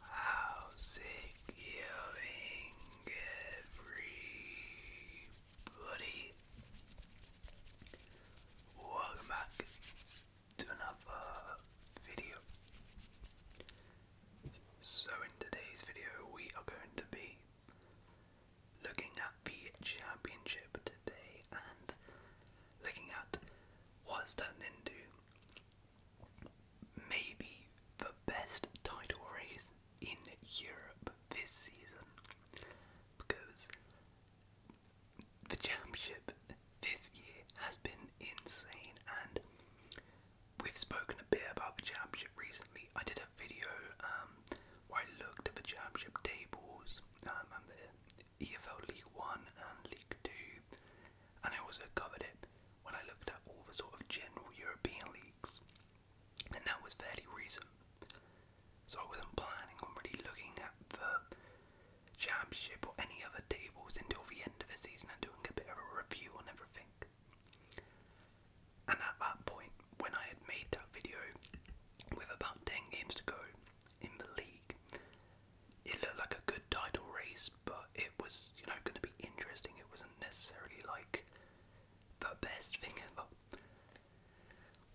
How's it going, everybody? Welcome back to another video. So, in today's video, we are going to be looking at the championship today and looking at what's done, turned maybe the best title race in Europe this season because the championship this year has been insane and we've spoken a bit about the championship recently. I did a video um, where I looked at the championship tables um, and the EFL League One and League Two, and I also covered it when I looked at all the sort of general European leagues, and that was fairly recent. So I wasn't planning on really looking at the championship or any other tables until the end of the season and doing a bit of a review on everything. And at that point, when I had made that video with about 10 games to go, in the league. It looked like a good title race, but it was, you know, going to be interesting. It wasn't necessarily like the best thing ever.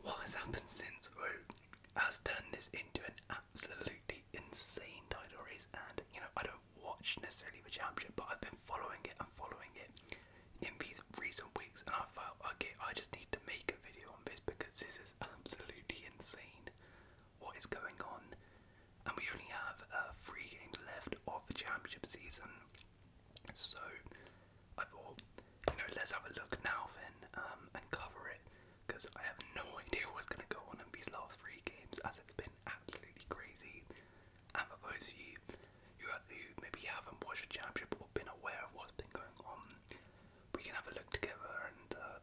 What has happened since Road has turned this into an absolutely insane title race, and you know, I don't watch necessarily the championship, but I've been following it and following it in these recent weeks, and I I felt, okay, I just need to make a video on this because this is absolutely insane what is going on. And we only have uh, three games left of the championship season. So I thought, you know, let's have a look now then um, and cover it because I have no idea what's going to go on in these last three games as it's been absolutely crazy. And for those of you who, who maybe haven't watched the championship or been aware of what's been going on, we can have a look together and uh,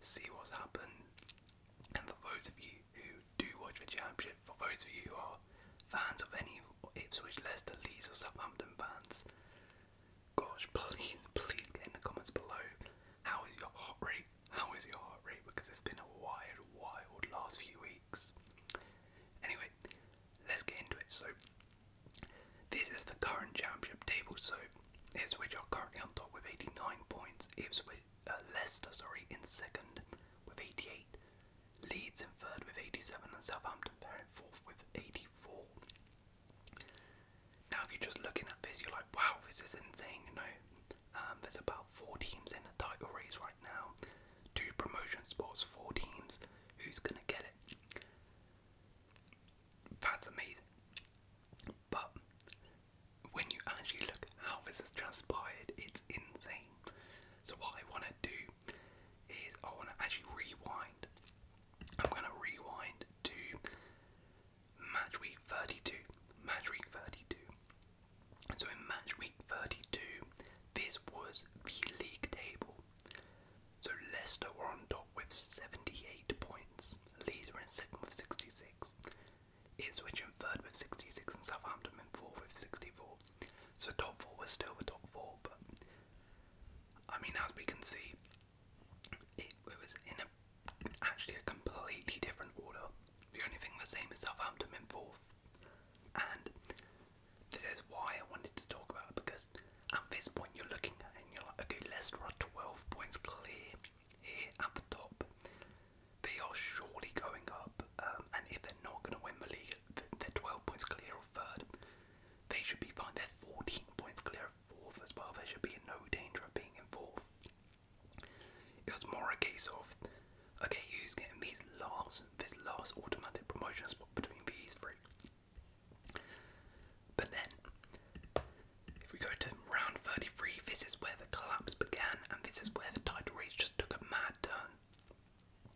see what's happened. And for those of you who do watch the championship, for those of you who are fans of any Ipswich, Leicester, Leeds, or Southampton fans, gosh, please, please in the comments below. How is your heart rate? How is your heart rate? Because it's been a wild, wild last few weeks. Anyway, let's get into it. So, this is the current championship table. So, Ipswich are currently on top with 89 points. Ipswich, uh, Leicester, sorry, in second with 88. Leeds in third with 87, and Southampton in fourth with 84. Now, if you're just looking at this, you're like, wow, this is insane. You know, um, there's about four teams in a title race right now. Two promotion spots, four teams. Who's gonna get it? That's amazing. But when you actually look at how this has transpired, it's insane. So, what I want to do is I want to actually rewind. I'm going to rewind to match week 32. Match week 32. So, in match week 32, this was the league table. So Leicester were on top with 78 points. Leeds were in second with 66. Ipswich in third with 66 and Southampton in fourth with 64. So top four was still the top four, but I mean, as we can see, it, was in a actually a completely different order. The only thing the same is Southampton in fourth, and this is why I wanted to talk about it because at this point, you're looking at and you're like, okay, Leicester are 12 points clear here at the top. They are surely going up, um, and if they're not going to win the league, they're 12 points clear of third. They should be fine. They're 14 points clear of fourth as well. They should be in no danger of being in fourth. It was more a case of, okay, who's getting these last, this last automatic promotion spot between these three? But then, if we go to round 33, this is where the collapse began, and this is where the title race just took a mad turn.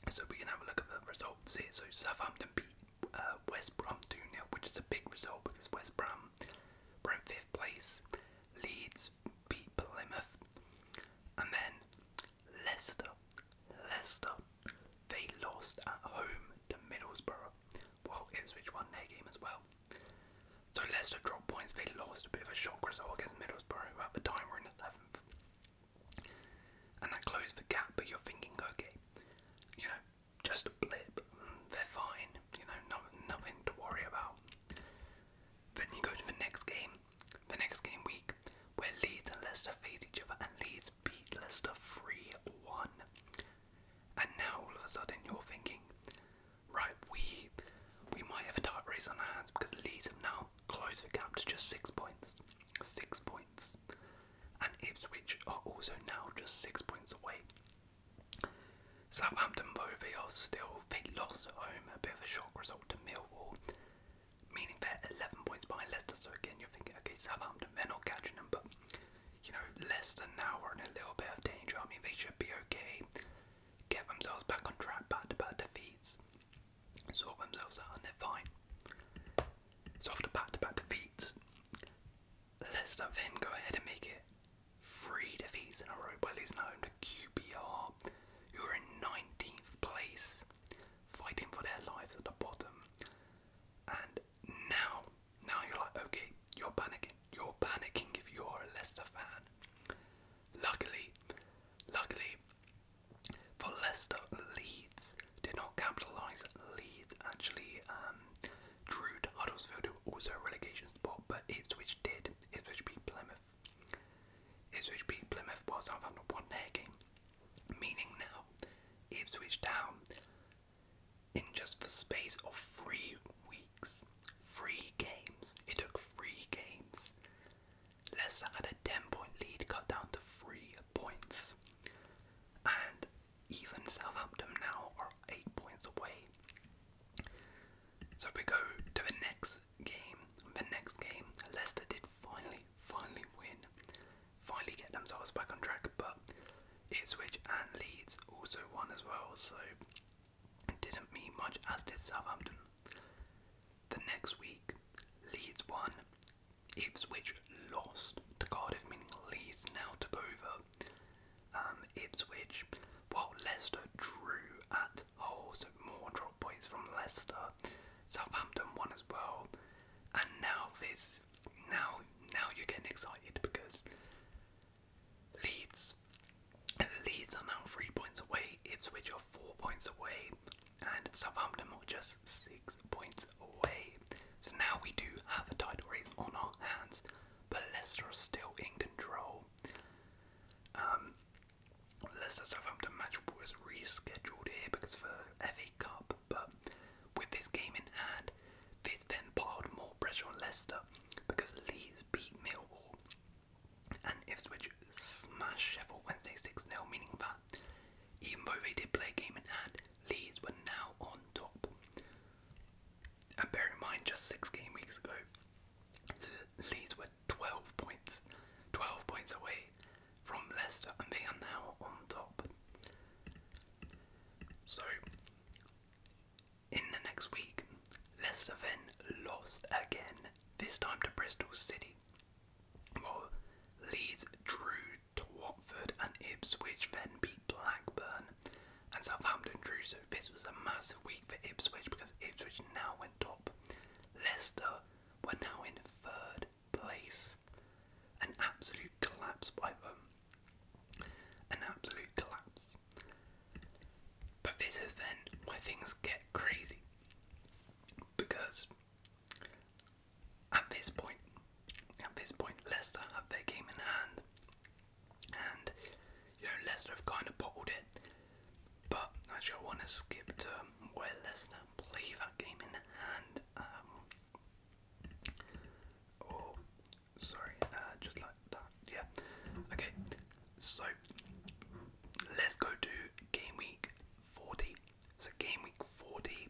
So we can have a look at the results here. So Southampton beat uh, West Brom 2 0, which is a big result because West Brom were in fifth place. Leeds beat Plymouth. And then Leicester Leicester. They lost at home to Middlesbrough. Well, Ipswich won their game as well. So Leicester dropped points. They lost a bit of a shock result against Middlesbrough, at the time were in 11th. And that closed the gap, but you're thinking, okay, you know, just a blip. Mm, they're fine. You know, nothing to worry about. Then you go to the next game, the next game week, where Leeds and Leicester face each other, and Leeds beat Leicester 3 1. And now all of a sudden you're thinking, right, we we might have a tight race on our hands because Leeds have now closed the gap to just six points. Six points. And Ipswich are also now just six points away. Southampton though they are still they lost at home, a bit of a shock result to Millwall. Meaning they're eleven points behind Leicester, so again you're thinking, okay, Southampton, they're not catching them, but you know, less than an hour and a little bit of danger. I mean, they should be okay, get themselves back on track, back to back defeats, sort themselves out, and they're fine. So after back to back defeats, Leicester then go ahead and make it three defeats in a row While he's known to QPR, who are in 19th place, fighting for their lives at the bottom. And now, now you're like, okay, you're panicking. You're panicking if you're a Leicester fan. Luckily, luckily for Leicester, Leeds did not capitalise. Leeds actually um, drew to Huddersfield, who also a relegation spot, but Ipswich did. Ipswich beat Plymouth. Ipswich beat Plymouth while Southampton won their game. Meaning now, Ipswich Town in just the space of three weeks. Three games. It took three games. Leicester had a 10 point lead cut down to three points. And even Southampton now are eight points away. So we go to the next game. The next game, Leicester did finally, finally win finally get themselves back on track. But Ipswich and Leeds also won as well, so didn't mean much, as did Southampton. The next week, Leeds won, Ipswich lost to Cardiff, meaning Leeds now took over. Um, Ipswich, while Leicester drew at Hull, so more drop points from Leicester. Southampton won as well, and now this now now you're getting excited because Leeds Leeds are now three points away, Ipswich are four points away, and Southampton are just six points away. So now we do have a title race on our hands, but Leicester are still in control. Um, Leicester Southampton match was rescheduled here because of the Cup, but with this game in hand, this then piled more pressure on Leicester because Leeds beat Millwall and Ipswich smash Sheffield Wednesday 6 0, meaning that even though they did play a game in hand, Leeds were now on top. And bear in mind, just six game weeks ago, Leeds were 12 points, 12 points away from Leicester, and they are now on top. So, in the next week, Leicester then lost again, this time to Bristol City. While Leeds drew to Watford and Ipswich then beat Blackburn and Southampton drew, so this was a massive week for Ipswich because Ipswich now went top. Leicester were now in third place. An absolute collapse by them. An absolute collapse. But this is then where things get crazy. Because at this point, at this point, Leicester have their game in hand. And, you know, Leicester have kind of bottled it. But actually, I want to skip to where Leicester play that game in hand. Um, Oh, sorry, uh, just like that, yeah. Okay, so let's go to game week 40. So, game week 40,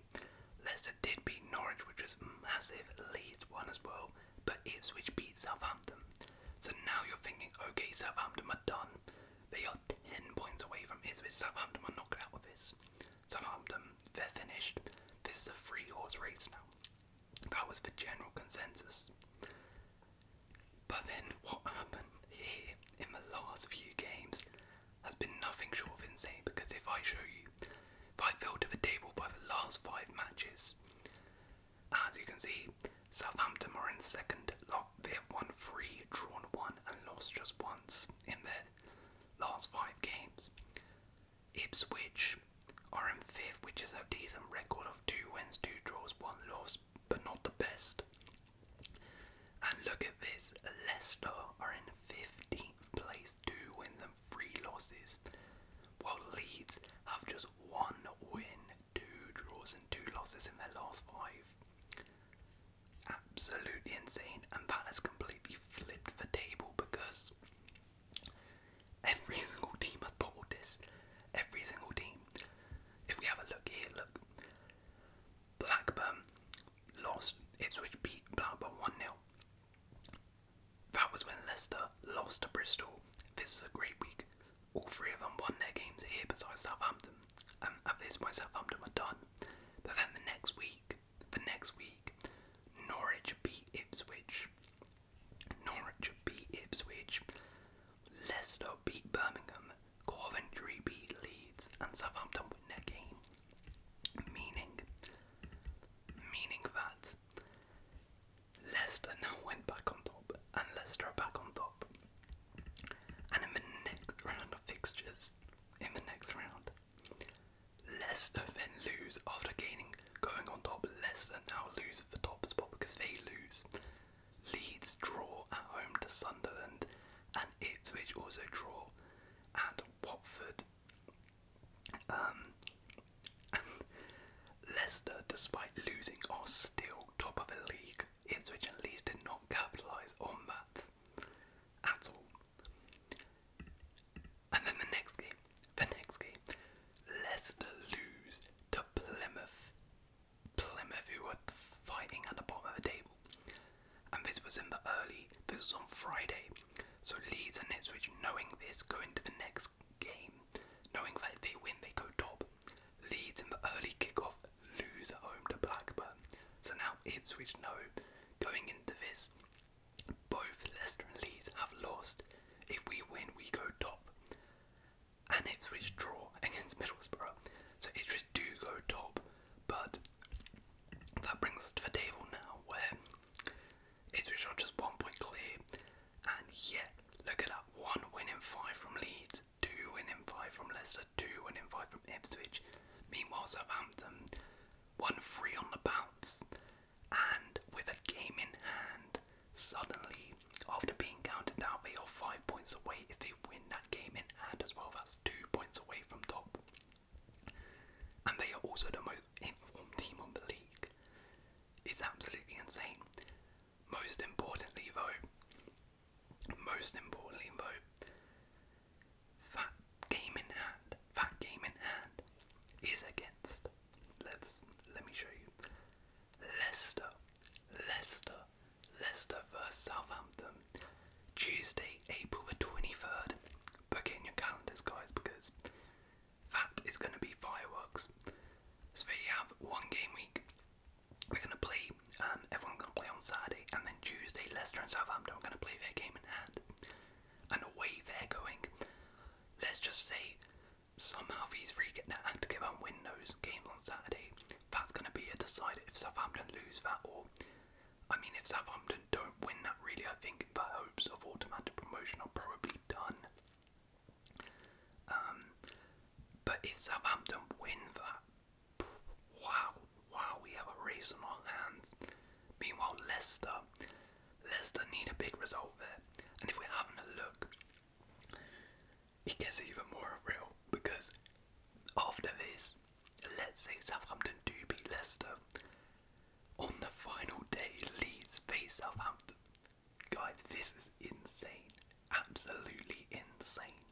Leicester did beat Norwich, which was massive. Leeds won as well, but Ipswich beat Southampton. So now you're thinking, okay, Southampton are done. They are 10 points away from Ipswich. Southampton are knocked out of this. So they're finished. This is a free horse race now. That was the general consensus. But then what happened here in the last few games has been nothing short of insane because if I show you, if I filter the table by the last five matches, as you can see, Southampton are in second. Lock. They have won three, drawn one, and lost just once in their last five games. Ipswich are in fifth, which is a decent record of two wins, two draws, one loss, but not the best. And look at this Leicester are in 15th place, two wins and three losses, while Leeds have just one win, two draws, and two losses in their last five absolutely insane, and that has completely flipped the table because every single team has pulled this. Every single team. If we have a look here, look. Blackburn lost. Ipswich beat Blackburn 1 0. That was when Leicester lost to Bristol. This is a great week. All three of them won their games here besides Southampton. And at this point, Southampton were done. But then the next week, for next week. Norwich beat Ipswich. Norwich beat Ipswich. Leicester beat Birmingham. Coventry beat Leeds, and Southampton win their game. Meaning, meaning that Leicester now went back on top, and Leicester are back on top. And in the next round of fixtures, in the next round, less than lose after gaining going on top less than now lose the top spot because they lose. Leeds draw at home to Sunderland and Ipswich also draw at Watford. Um, Leicester, despite losing, are still top of the league. Ipswich and Leeds did not capitalise on that at all. And then the next game, the next game, Leicester lose to Plymouth. Plymouth, who were fighting at the bottom of the table. And this was in the early, this was on Friday. So Leeds and Ipswich, knowing this, go into the next game. Knowing that if they win, they go top. Leeds in the early kickoff lose at home to Blackburn. So now Ipswich know, going into this, both Leicester and Leeds have lost. If we win, we go top. And Ipswich draw against Middlesbrough. So Ipswich do go top, but that brings to the table now where Ipswich are just one point clear. And yet, look at that one win in five from Leeds, two win in five from Leicester, two win in five from Ipswich. Meanwhile, Southampton one free on the bounce, and with a game in hand, suddenly, after being counted down, they are five points away. If they win that game in hand as well, that's two points away from top. And they are also the most informed team on the league. It's absolutely insane. Most importantly, though, most importantly, though, that game in hand, that game in hand is against. Let's let me show you. Leicester, Leicester, Leicester versus Southampton. Tuesday, April the twenty-third. Book in your calendars, guys, because that is going to be fireworks. So there you have one game week. We're going to play. Um, everyone's going to play on Saturday, and then Tuesday, Leicester and Southampton are going to play their game in hand and away they're going. Let's just say somehow these three get their act together and win games on Saturday. That's going to be a decider if Southampton lose that, or I mean, if Southampton don't win that, really, I think the hopes of automatic promotion are probably done. Um, but if Southampton win that, wow, wow, we have a race on Meanwhile, Leicester, Leicester need a big result there, and if we're having a look, it gets even more real because after this, let's say Southampton do beat Leicester. On the final day, Leeds face Southampton. Guys, this is insane. Absolutely insane.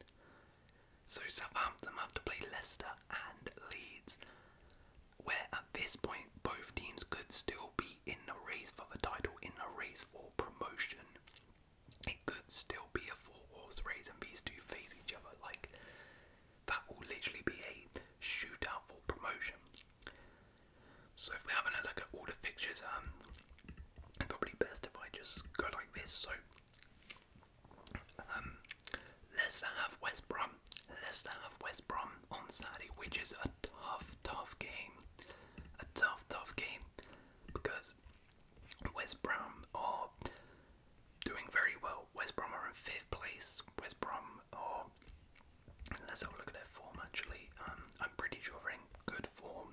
So Southampton have to play Leicester and Leeds where at this point both teams could still be in the race for the title, in the race for promotion. It could still be a four horse race and these two face each other. Like, that will literally be a shootout for promotion. So, if we're having a look at all the fixtures, um, probably best if I just go like this. So, um, Leicester have West Brom. Leicester have West Brom on Saturday, which is a tough, tough game. A tough, tough game because West Brom are doing very well. West Brom are in fifth place. West Brom are. Let's have a look at their form. Actually, um, I'm pretty sure they're in good form.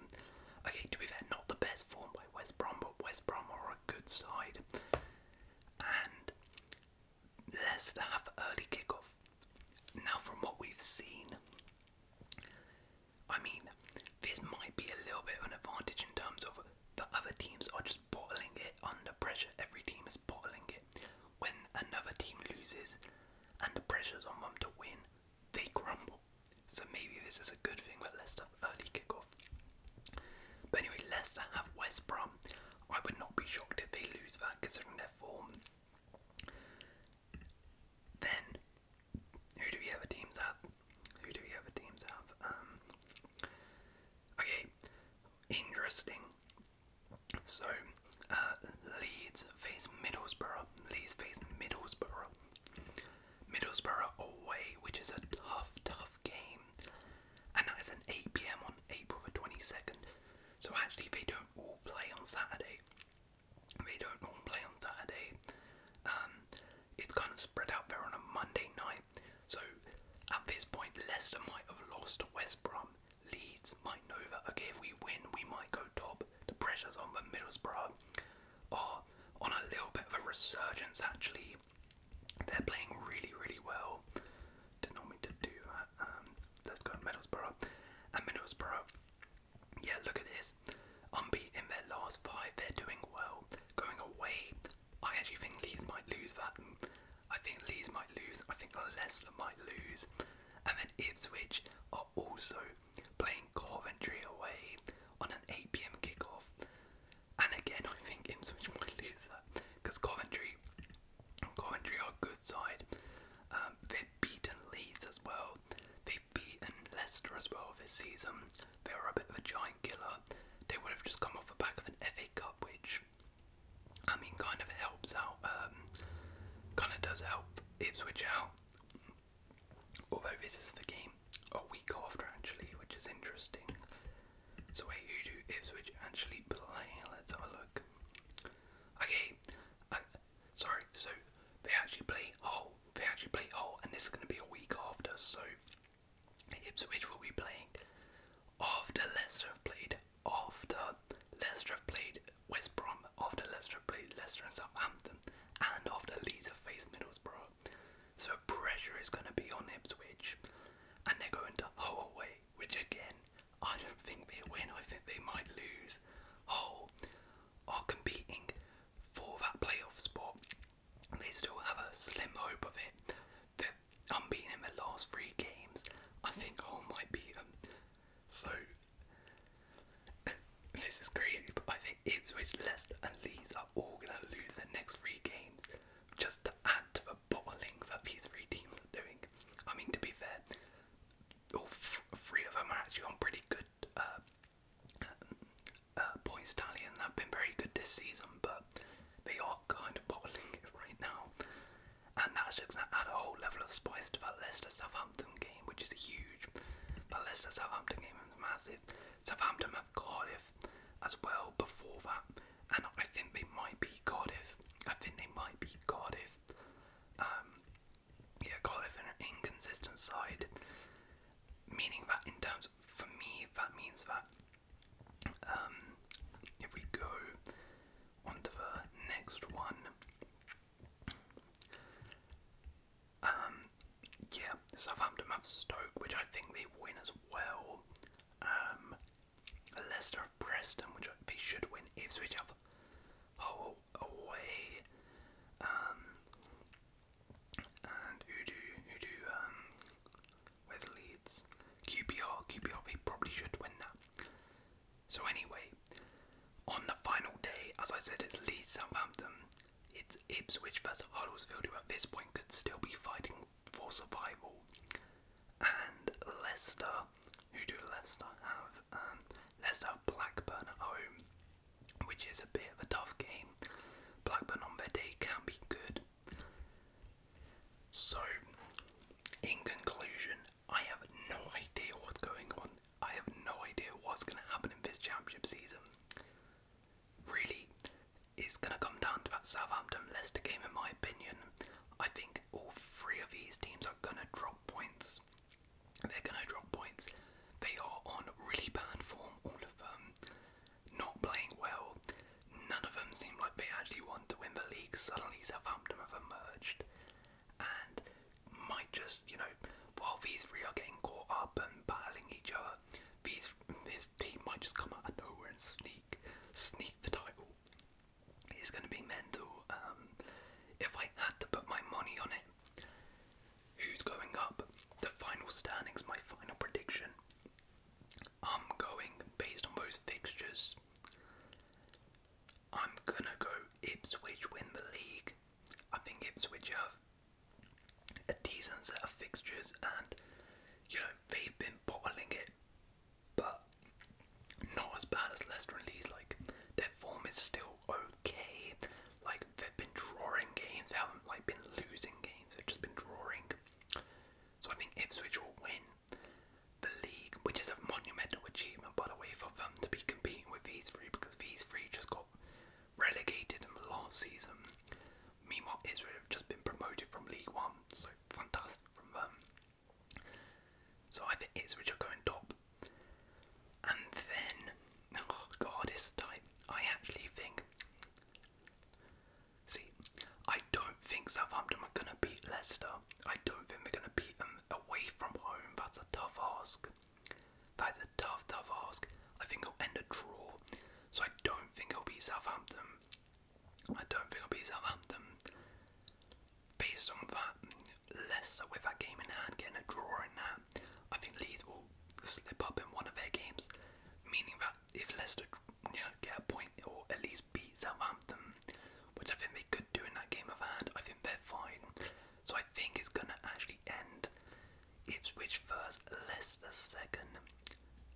Okay, to be fair, not the best form by West Brom, but West Brom are a good side. And Leicester have early kickoff. Now, from what we've seen, I mean, this might be a little bit of an advantage in terms of the other teams are just bottling it under pressure. Every team is bottling it. When another team loses and the on them to win, they crumble. So maybe this is a good thing that Leicester have early kickoff. But anyway, Leicester have West Brom. I would not be shocked if they lose that considering their form. Then, who do the other teams have? Who do the other teams have? Um, okay, interesting. So, uh, Leeds face Middlesbrough. Leeds face Middlesbrough. Middlesbrough away, which is a tough, tough game and that is an 8 pm on April the 22nd. So actually, they don't all play on Saturday. They don't all play on Saturday. Um, it's kind of spread out there on a Monday night. So at this point, Leicester might have lost to West Brom. Leeds might know that okay, if we win, we might go top. The pressure's on the Middlesbrough are on a little bit of a resurgence actually. They're playing really, really well. Didn't want to do that. Um, let's Middlesbrough. And Middlesbrough, yeah, look at this. Unbeat their last five. They're doing well. Going away, I actually think Leeds might lose that. I think Leeds might lose. I think Leicester might lose. And then Ipswich are also playing Coventry away on an 8 pm kickoff. And again, I think Ipswich might lose that because Coventry, Coventry are a good side. Um, they've beaten Leeds as well. They've beaten Leicester as well this season. They are a bit of a giant killer. They would have just come off the back of an FA Cup, which I mean, kind of helps out. Um, kind of does help Ipswich out. Although this is the game a week after, actually, which is interesting. So wait, do Ipswich actually play? Let's have a look. Okay, uh, sorry. So they actually play Hull. They actually play Hull, and this is going to be a week after. So Ipswich will be playing after Leicester have played. After Leicester have played West Brom. After Leicester have played Leicester and Southampton, and after Leeds have faced Middlesbrough. So pressure is going to be on Ipswich and they're going to Hull away, which again, I don't think they win. I think they might lose. Hull are competing for that playoff spot. They still have a slim hope of it. They're unbeaten in the last three games. I think Hull might beat them. So this is crazy, but I think Ipswich, Leicester, and Leeds are all gonna lose their next three games just to add to the a bottling these three teams doing. I mean, to be fair, all three of them are actually on pretty good uh, uh, points tally and they have been very good this season, but they are kind of bottling it right now. And that's just going to add a whole level of spice to that Leicester Southampton game, which is huge. That Leicester Southampton game is massive. Southampton have Cardiff as well before that and I think they might be Cardiff. I think they might be Cardiff. Um, yeah, Cardiff are an inconsistent side, meaning that in terms for me that means that um, if we go on to the next one. Um, yeah, Southampton have Stoke, which I think they win as well. Um, Leicester Preston, which they should win. Ipswich have Hull away. Um, and who do, who do, um, with Leeds? QPR, QPR, they probably should win that. So anyway, on the final day, as I said, it's Leeds, Southampton. It's Ipswich versus Huddersfield, who at this point could still be fighting for survival and Leicester. Who do Leicester have? Um, Leicester Blackburn at home, which is a bit of a tough game. Blackburn on their day can be good. So, in conclusion, I have no idea what's going on. I have no idea what's going to happen in this championship season. Really, it's going to come down to that Southampton Leicester game, in my opinion. I think all three of these teams are going to drop points. They're going to drop points. They are on really bad form, all of them. Not playing well. None of them seem like they actually want to win the league. Suddenly, Southampton have emerged and might just, you know, while these three are getting caught up and battling each other, these his team might just come out of nowhere and sneak, sneak the title. It's going to be mental. Um, if I had to put my money on it, who's going up? The final standings, my final prediction. I'm going based on those fixtures. I'm gonna go Ipswich win the league. I think Ipswich have a decent set of fixtures, and you know they've been bottling it but not as bad as Leicester and Leeds. Like their form is still okay. Like they've been drawing games. They haven't like been losing games. They've just been drawing. So I think Ipswich will win the league, which is a monumental achievement by the way for them to be competing with these three because these three just got relegated in the last season. Meanwhile, Israel have just been promoted from League One, so fantastic from them. So I think Israel are going top. And then, oh god, it's tight. I actually think. See, I don't think Southampton are going to beat Leicester. I don't think they're going to beat them away from home. That's a tough ask. That's a tough, tough ask. I think it'll end a draw. So I don't think it'll be Southampton. I don't think i will be Southampton. Based on that, Leicester with that game in hand, getting a draw in that, I think Leeds will slip up in one of their games. Meaning that if Leicester get a point or at least beat Southampton, which I think they could do in that game of hand, I think they're fine. So I think it's gonna actually end Ipswich first, Leicester second.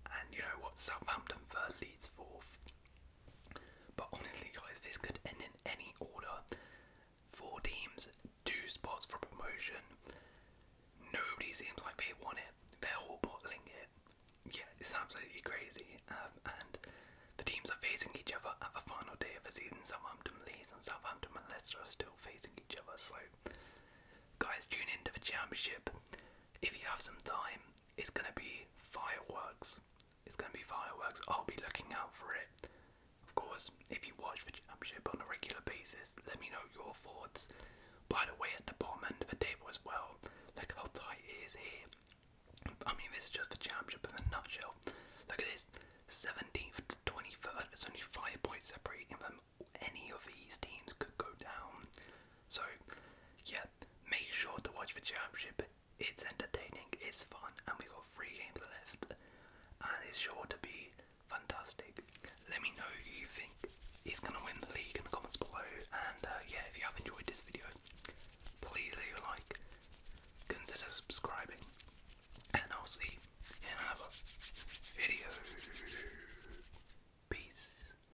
And you know what? Southampton third, Leeds fourth. But honestly, guys, this could end in any order. Four teams, two spots for promotion. Nobody seems like they want it. They're all bottling it. Yeah, it's absolutely crazy. Um, and the teams are facing each other at the final day of the season. Southampton, Leeds, and Southampton and Leicester are still facing each other. So, guys, tune into the championship if you have some time. It's gonna be fireworks. It's gonna be fireworks. I'll be looking out for it. Of course, if you watch the championship on a regular basis, let me know your thoughts. By the way, at the bottom end of the table as well, look how tight it is here. I mean, this is just the championship in a nutshell. Look at this 17th to 23rd, there's only five points separating them. Any of these teams could go down. So, yeah, make sure to watch the championship. It's entertaining, it's fun, and we've got three games left, and it's sure to be fantastic. Let me know who you think is going to win the league in the comments below, and uh, yeah, if you have enjoyed this video, please leave a like, consider subscribing, and I'll see you in another video. Peace.